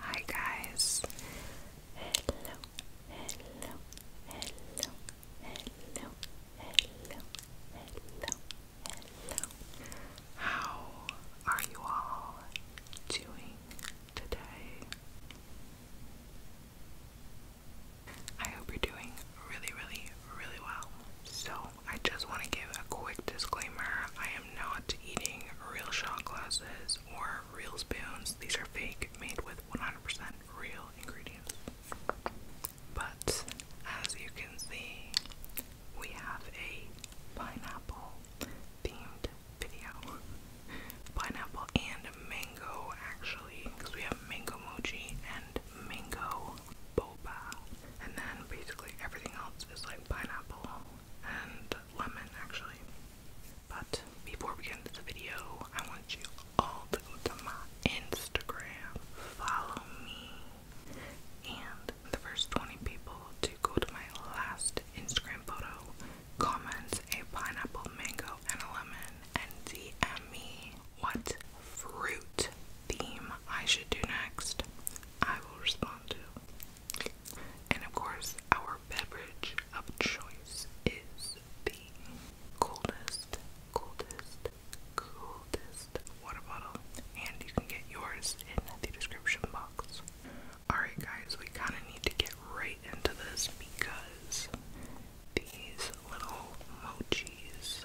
Hi guys. Hello. Hello. Hello. Hello. Hello. Hello. Hello. How are you all doing today? I hope you're doing really, really, really well. So, I just want to give a quick disclaimer am not eating real shot glasses or real spoons. These are fake, made with 100% real ingredients. But as you can see, we have a pineapple themed video. pineapple and mango, actually, because we have mango mochi and mango boba. And then basically everything else is like pineapple and lemon actually. But before we get into the video, I want you all to go to my Instagram, follow me, and the first 20 people to go to my last Instagram photo, comment a pineapple, mango, and a lemon, and DM me what fruit theme I should do next. I will respond to. And of course, our beverage of choice is the coldest, coldest, coldest water bottle. And you can get yours in the description box. Alright, guys, we kind of need to get right into this because these little mochis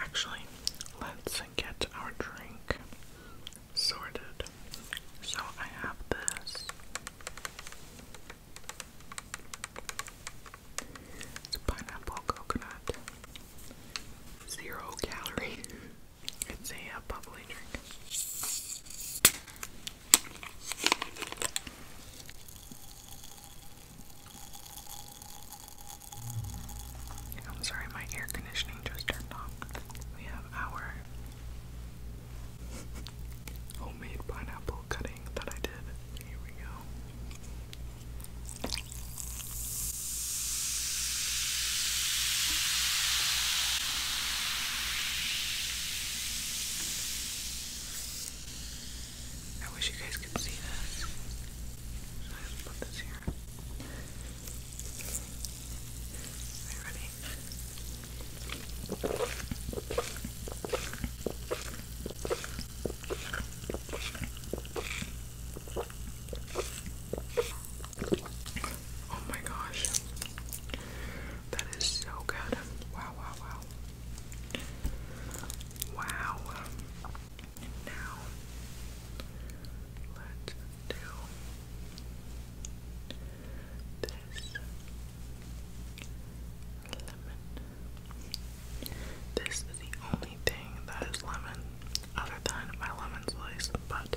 Actually, let's get our drink sorted. So I have this it's pineapple coconut. Zero calorie. It's a uh, bubbly drink. I'm sorry, my air conditioning just turned off. We have our homemade pineapple cutting that I did. Here we go. I wish you guys could see this. So I put this here. Are you ready? Oh my gosh. That is so good. Wow, wow, wow. Wow. Now, let's do this is the only thing that is lemon, other than my lemon slice, but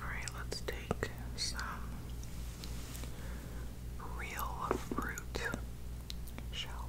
All right, let's take some real fruit, shall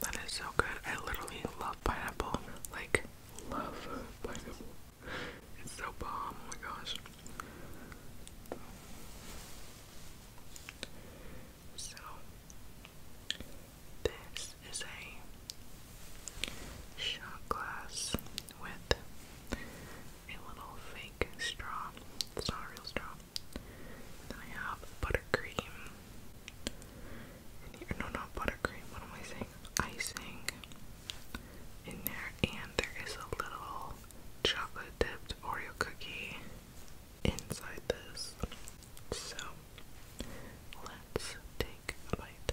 that is so good. I literally love pineapple. Like, love pineapple. It's so bomb. Oh my gosh. So, this is a shot glass with a little fake straw. It's not a real straw. I have buttercream no, not buttercream. What am I saying? Icing in there, and there is a little chocolate dipped Oreo cookie inside this. So let's take a bite.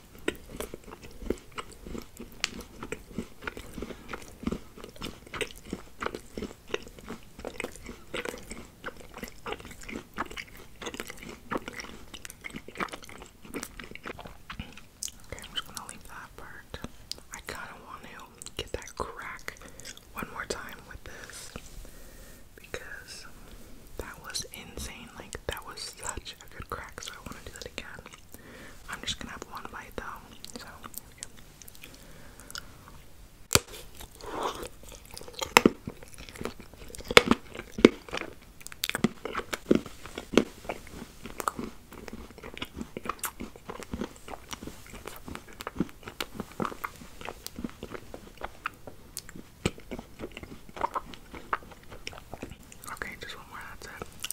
I'm just gonna leave that part. I kinda want to get that crack one more time with this because that was insane. Like, that was such a good crack, so I want to do that again. I'm just gonna have one bite though, so Okay, just one more, that's it.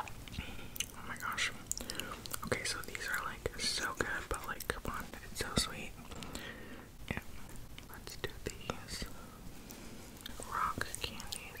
Oh my gosh. Okay, so these are like so good, but like, come on, it's so sweet. Yeah, let's do these rock candies.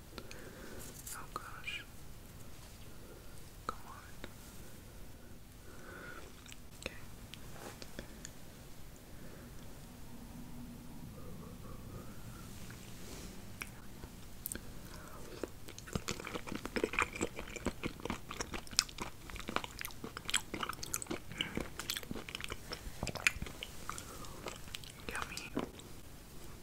Oh gosh. Come on. Okay. Yummy.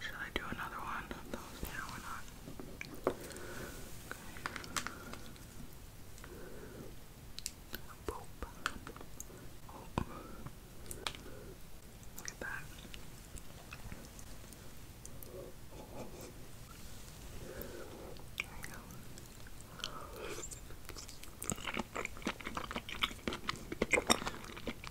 Should I do another one those now or not? Look at that. There you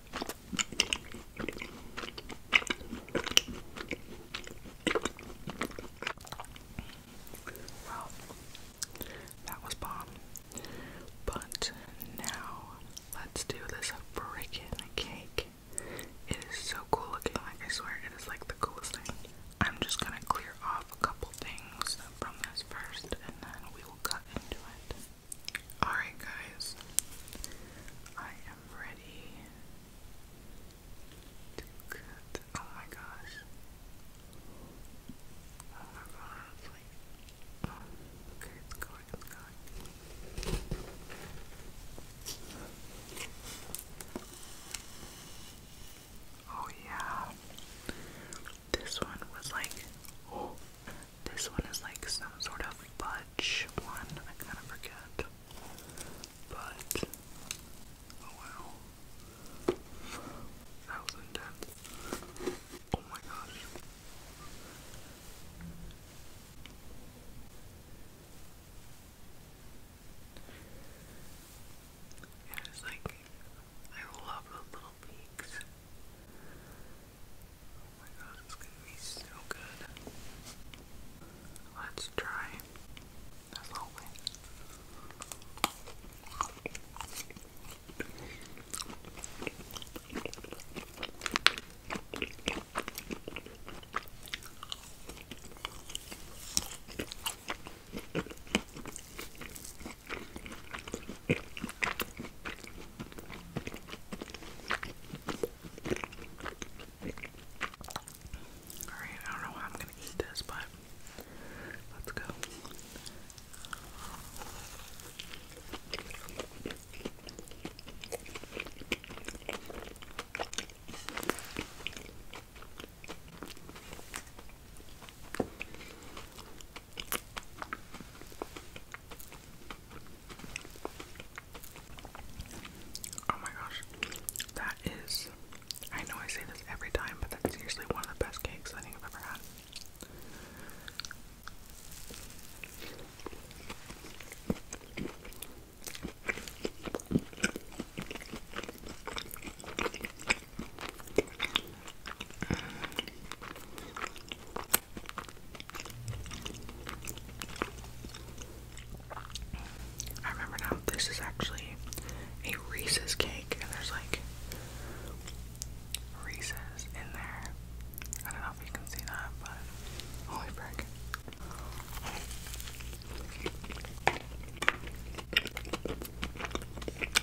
Well, that was bomb. But now let's do this freaking cake. It is so cool looking, like I swear it is like the coolest thing. I'm just gonna clear off a couple things from this first and then we will cut into it. Alright, guys, I am ready Oh my gosh. Oh my god, oh, okay, it's going, it's going. Oh yeah. This one was like, oh, this one is like some sort of fudge one. I kind of forget. But oh wow. That Oh my gosh. It is like I love those little peaks. Oh my god, it's gonna be so good. Let's try. That's all we Alright, I don't know how I'm gonna eat this, but let's go. Oh my gosh, that is. I know I say this every time, but that's usually one of the best cakes I think I've ever had. I remember now, this is actually a Reese's cake, and there's like Reese's in there. I don't know if you can see that, but holy frick.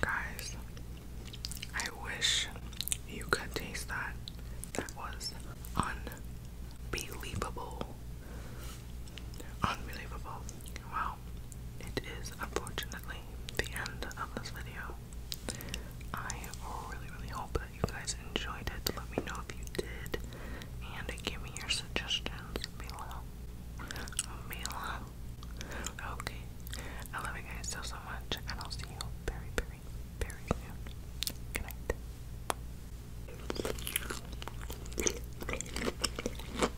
Guys, I wish you could taste that. That was unbelievable. Unbelievable. Wow it is unfortunately the end of this video. I really, really hope that you guys enjoyed it. Let me know if you did, and give me your suggestions below. Okay. I love you guys so, so much, and I'll see you very, very, very soon.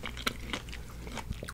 Good night.